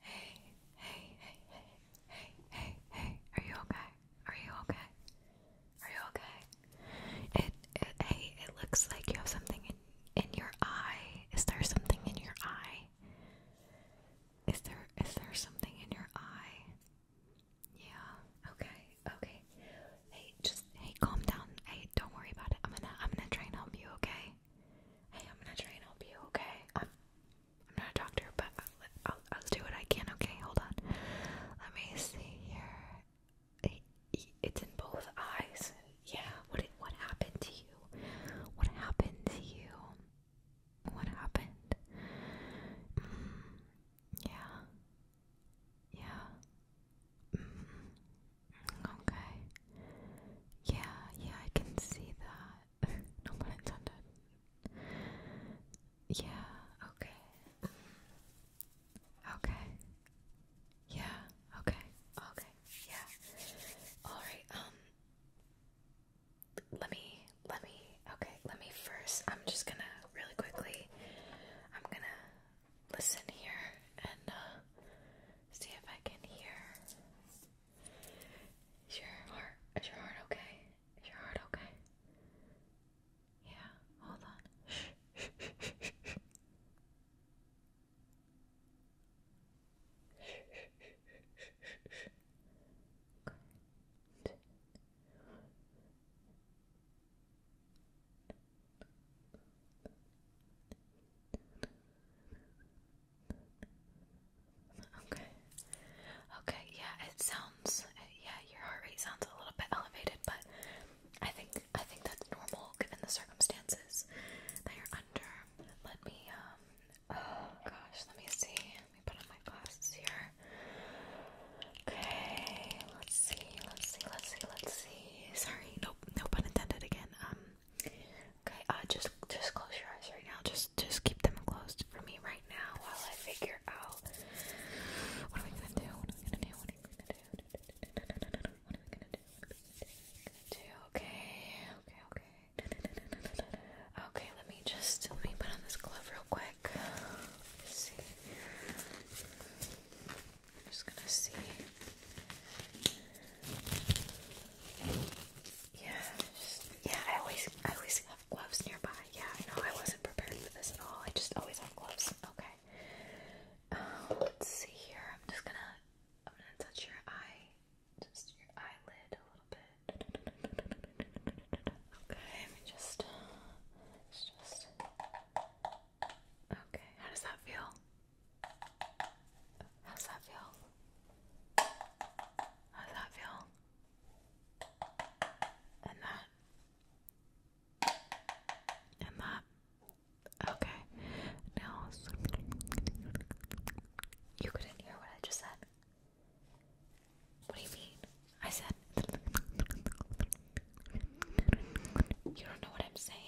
Hey, hey, hey, hey, hey, hey, hey, are you okay? Are you okay? Are you okay? It, it hey, it looks like you have something in in your eye. Is there something in your eye? Is there is there something in your eye? Yeah. Okay. Okay. Hey, just hey, calm down. Hey, don't worry about it. I'm gonna I'm gonna try and help you, okay? Hey, I'm gonna try and help you, okay? I'm, I'm not a doctor, but I'll, I'll, I'll do what I can, okay? Hold on. Let me see here. It's in both eyes. Yeah. What what happened to you? What happened to you? What happened? Mm, yeah. Yeah. Mm. Okay. Yeah, yeah, I can see that. no pun intended. Yeah, okay. Okay. Yeah, okay. Okay. Yeah. Alright, um let me let me okay, let me first I'm just gonna really quickly I'm gonna listen here and uh, see if I can hear is your heart is your heart okay? Is your heart okay? Yeah, hold on. Shh. Okay. Okay, yeah, it sounds yeah, your heart rate sounds a little bit elevated, but I think I think that's normal given the circumstances that you're under. Let me um oh gosh, let me see. Let me put on my glasses here. Okay, let's see, let's see, let's see, let's see. Sorry, nope, no pun intended again. Um Okay, uh, just just close your eyes right now. Just just keep them closed for me right now while I figure out what am I gonna do? What am I gonna do? What am I gonna do? What am I gonna do? Okay, okay, okay. Okay, let me just let me put on this glove real quick. see. I'm just gonna see. Yeah, yeah. I always, I always have gloves nearby. Yeah, I I wasn't prepared for this at all. I just always have gloves. Okay. Um, let's see here. I'm just gonna, I'm gonna touch your eye, just your eyelid a little bit. Okay. just, just. Okay. How does that feel? How that feel? How that feel? And that. And that. Okay. Now, you couldn't hear what I just said. What do you mean? I said. You don't know what I'm saying.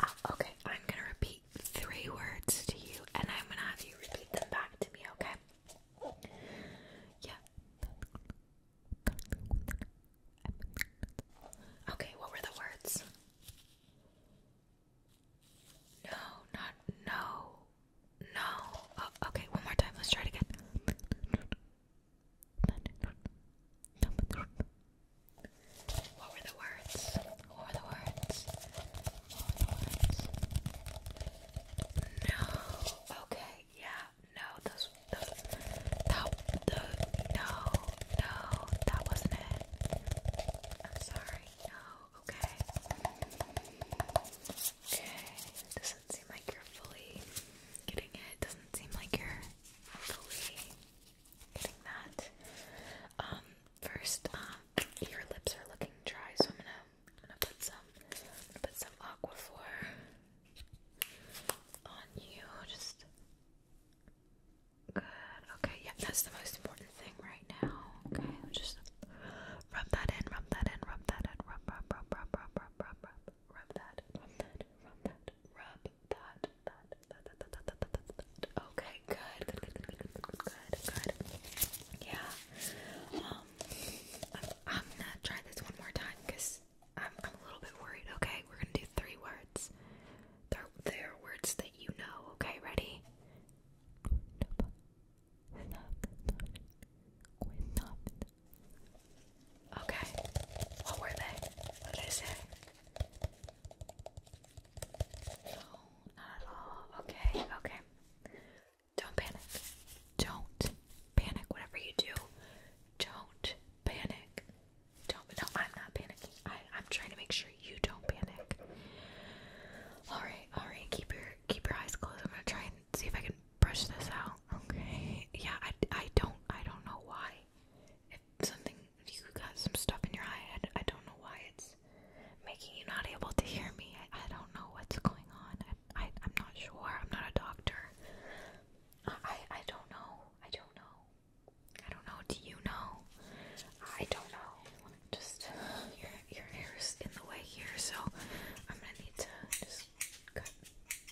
Ah, okay, I'm gonna repeat three words to you and I'm gonna have you repeat them back to me, okay? Yeah. Okay, what were the words? No, not no. No. Oh, okay, one more time. Let's try again. What were the words? What were the words? What were the words? No. Okay. Yeah. No. Those. Those. That. The. No. No. That wasn't it. I'm sorry. No. Okay. Okay. Doesn't seem like you're fully getting it. Doesn't seem like you're getting that. Um, first, um, your lips are looking dry, so I'm gonna, gonna put some, put some Aquaphor on you. Just good. Okay, yeah, that's the most important thing right now. Okay, just rub that in, rub that in, rub that in, rub, rub, rub, rub, rub, rub, rub rub that, rub that, rub that, rub that, that, that, that, that, that, that, that, Okay, good, good, good, good, good, good, good, Yeah. Um, I'm, gonna try this one more time because I'm, I'm a little bit worried. Okay, we're gonna do three words. They're, are words that you know. Okay, ready? Okay. What were they? What did they say? No, not at all. Okay, okay. Don't panic. Don't panic. Whatever you do, don't panic. Don't. No, I'm not panicking. I, I'm trying to make sure you don't panic. All right, all right. Keep your keep your eyes closed. I'm gonna try see if I can brush this out. Okay. Yeah, I, I don't I don't know why. If something you got some stuff in your eye, I, don't know why it's making you not able to hear me. I, I don't know what's going on. I, I am not sure. I'm not a doctor. I I don't know. I don't know. I don't know. Do you know? I don't know. Just your your hair is in the way here, so I'm gonna need to just cut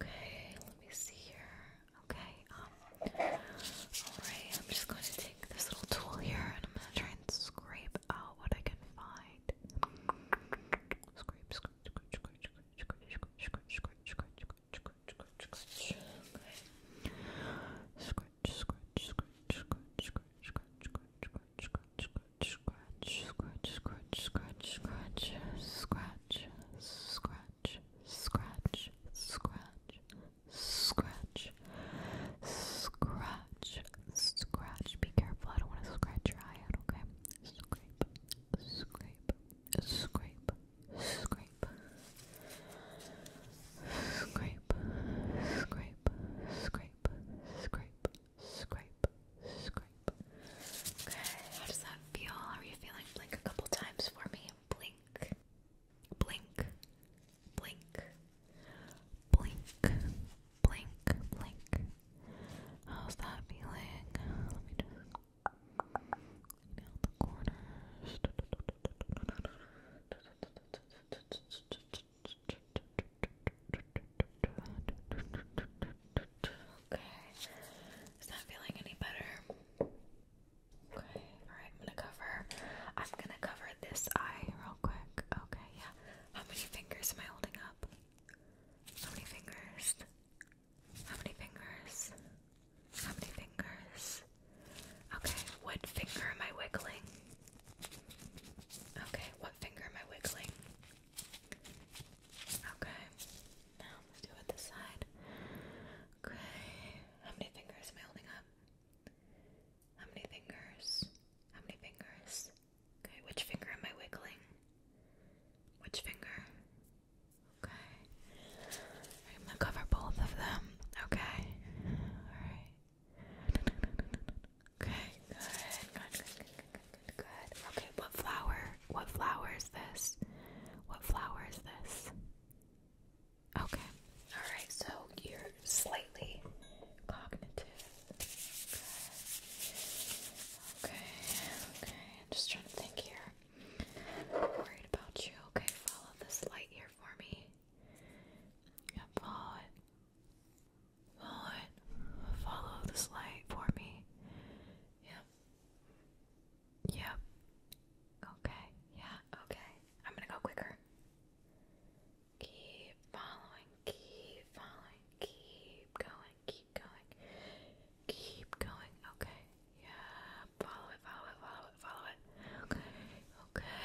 Okay. let me see here. Okay, alright, I'm just going to take this little tool here and I'm gonna try and scrape out what I can find. Scrape, scratch, scratch, scratch, scratch, scratch, scratch, scratch, scratch, scratch, scratch. Okay. Scratch, scratch, scratch, scratch, scratch, scratch, scratch, scratch, scratch, scratch, scratch, scratch, scratch, scratch, scratch, scratch, scratch, scratch, scratch, scratch, scratch, scratch. Be careful, I don't want to scratch your eye out, okay? Scrape, scrape, scrape, scrape, scrape, scrape, scrape, scrape scrape, scrape. Okay, how does that feel? are you feeling? Blink a couple times for me. Blink, blink, blink, blink, blink, blink. How's that feeling? Let me just the corners. Okay. Is that feeling any better? Okay. Alright, I'm gonna cover I'm gonna cover this eye real quick. Okay, yeah. How many fingers am I holding up? How many fingers? How many fingers? How many fingers? Okay, what finger am I wiggling? Okay, what finger am I wiggling? Okay. Now let's do it this side. Okay. How many fingers am I holding up? How many fingers? How many fingers? Okay, which finger am I wiggling? Which finger? Okay. I'm gonna cover both of them. Okay. Alright. Okay, good. Good, good, good, good, good, Okay, what flower? What flower is this? What flower is this? Okay. Alright, so you're slightly cognitive. Okay, okay. I'm just trying to think here. worried about you. Okay, follow this light here for me. Yeah, follow it. Lord, follow this light for me. Yep. Yep. Okay. Yeah. Okay. I'm gonna go quicker. Keep following. Keep following. Keep going. Keep going. Keep going. Okay. Yeah. Follow it. Follow it. Follow it. Follow it. Okay. Okay.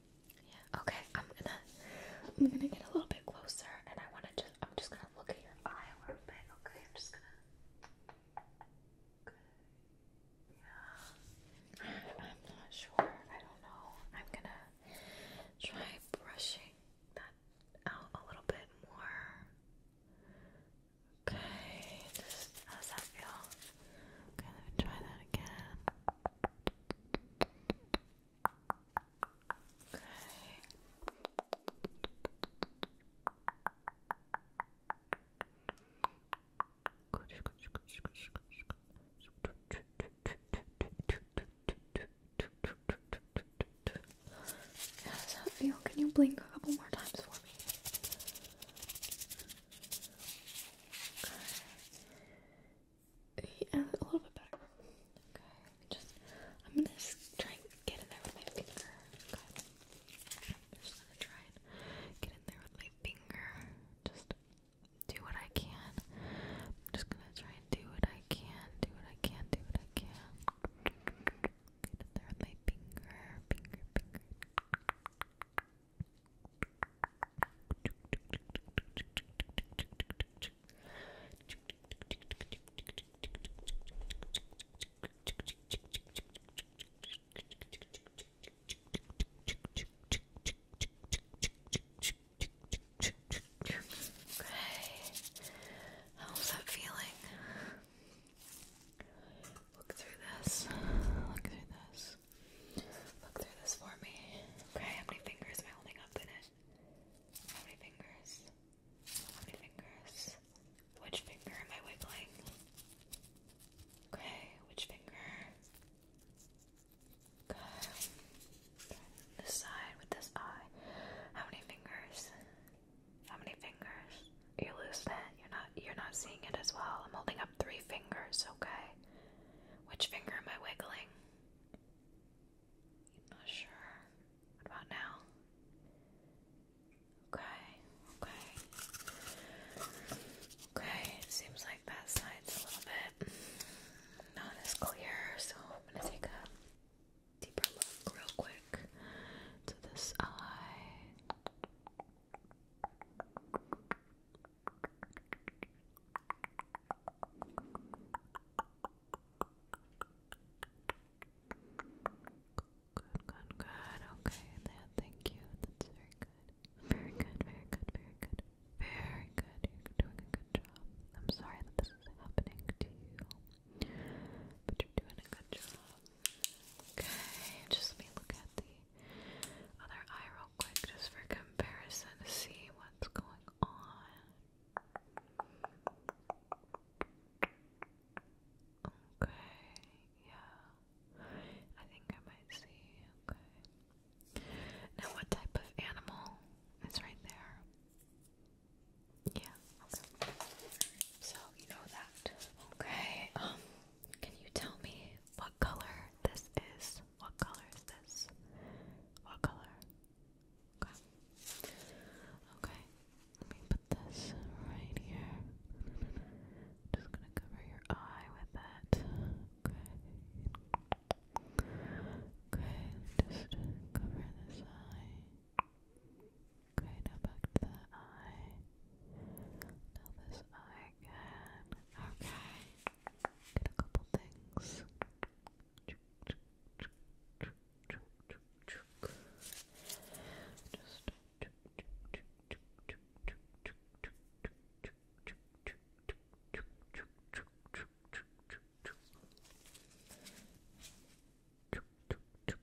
Yeah. Okay. I'm gonna. I'm gonna get a little bit closer, and I want to just. I'm just gonna look at your eye a little bit. Okay. I'm just gonna. Yeah. I'm not sure. I don't know. I'm gonna try brushing that out a little bit more. Okay. Just, how that feel? Okay. Let me try that again. Okay. How does that feel? Can you blink a couple more times for me? Okay. Yeah, a little bit better. Okay, just I'm gonna just try and get in there with my finger. Okay. I'm just gonna try and get in there with my finger. Just do what I can. I'm just gonna try and do what I can, do what I can, do what I can. Get in there with my finger, finger, finger. How's that feeling? Look through this. Look through this. Look through this for me. Okay, how many fingers am I holding up in it? How many fingers? How many fingers? Which finger am I wiggling? Okay, which finger? Good. This side with this eye. How many fingers? How many fingers? You lose that. You're not you're not seeing it as well. I'm holding up three fingers, okay? Which finger am I wiggling? not sure. about now? Okay, okay. Okay, it seems like that side's a little bit not as clear, so I'm gonna take a deeper look real quick to this eye. Good, good, good. Okay, then thank you. That's very good. Very good, very good, very good. Very good. You're doing a good job. I'm sorry that this is happening to you. But you're doing a good job. Okay, just let me look at the other eye real quick just for comparison to see what's going on. Okay, yeah. I think I might see. Okay. Now, what type of animal is right there? Yeah, So, you know that. Okay, um, can you tell me what color this is? What color is this? What color? Okay. Okay. Let me put this right here. Just gonna cover your eye with that. Okay. Okay. Just cover this eye. Okay, now back to the eye. Now this eye again. Okay. Get a couple things. Just good.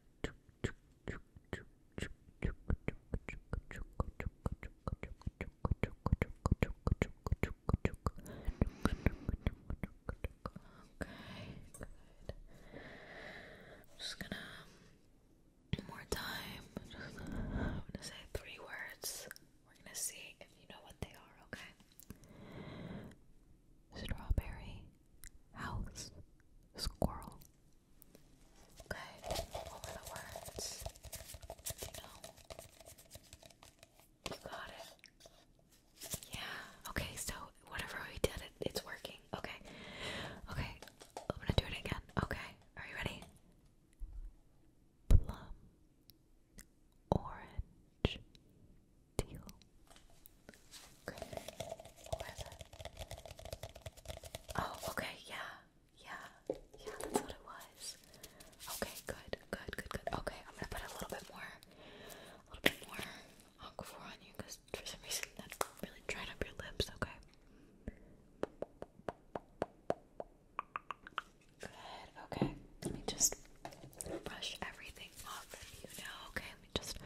just gonna more time. Just, gonna say three words. We're gonna see if you know what they are, okay? Strawberry house squirrel Okay, what the words? you know? You got it. Yeah. Okay, so whatever we did, it, it's working. Okay. Okay, I'm gonna do it again. Okay, are you ready? Plum, orange, teal, Oh, okay, yeah, yeah, yeah, that's what it was. Okay, good, good, good, good. Okay, I'm gonna put a little bit more, a little bit more aquaphor on you because for some reason that really dried up your lips, okay? Good, okay. Let me just brush everything off you now, okay? Let me just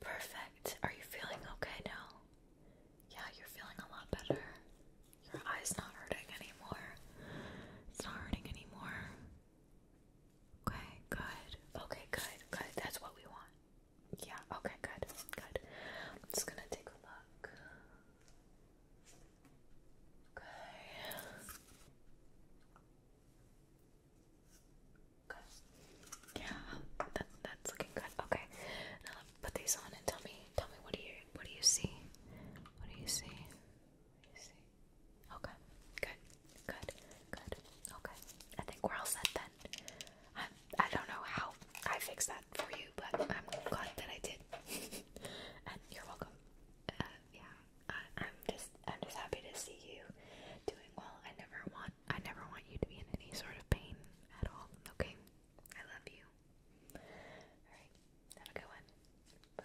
Perfect. Are you feeling okay now? Yeah, you're feeling a lot better. Your eye's not hurting anymore. It's not hurting anymore. Okay, good. Okay, good, good. That's what we want. Yeah, okay, good, good. I'm just gonna take a look. Okay. Good. Yeah, that, that's looking good. Okay. Now put these on and tell me, tell me what do you, What do you see? What do you see? Okay. Good. Good. Good. Okay. I think we're all set then. I I don't know how I fixed that for you, but I'm glad that I did. and you're welcome. Uh, yeah. I, am just I'm just happy to see you doing well. I never want I never want you to be in any sort of pain at all. Okay. I love you. All right. Have a good Bye.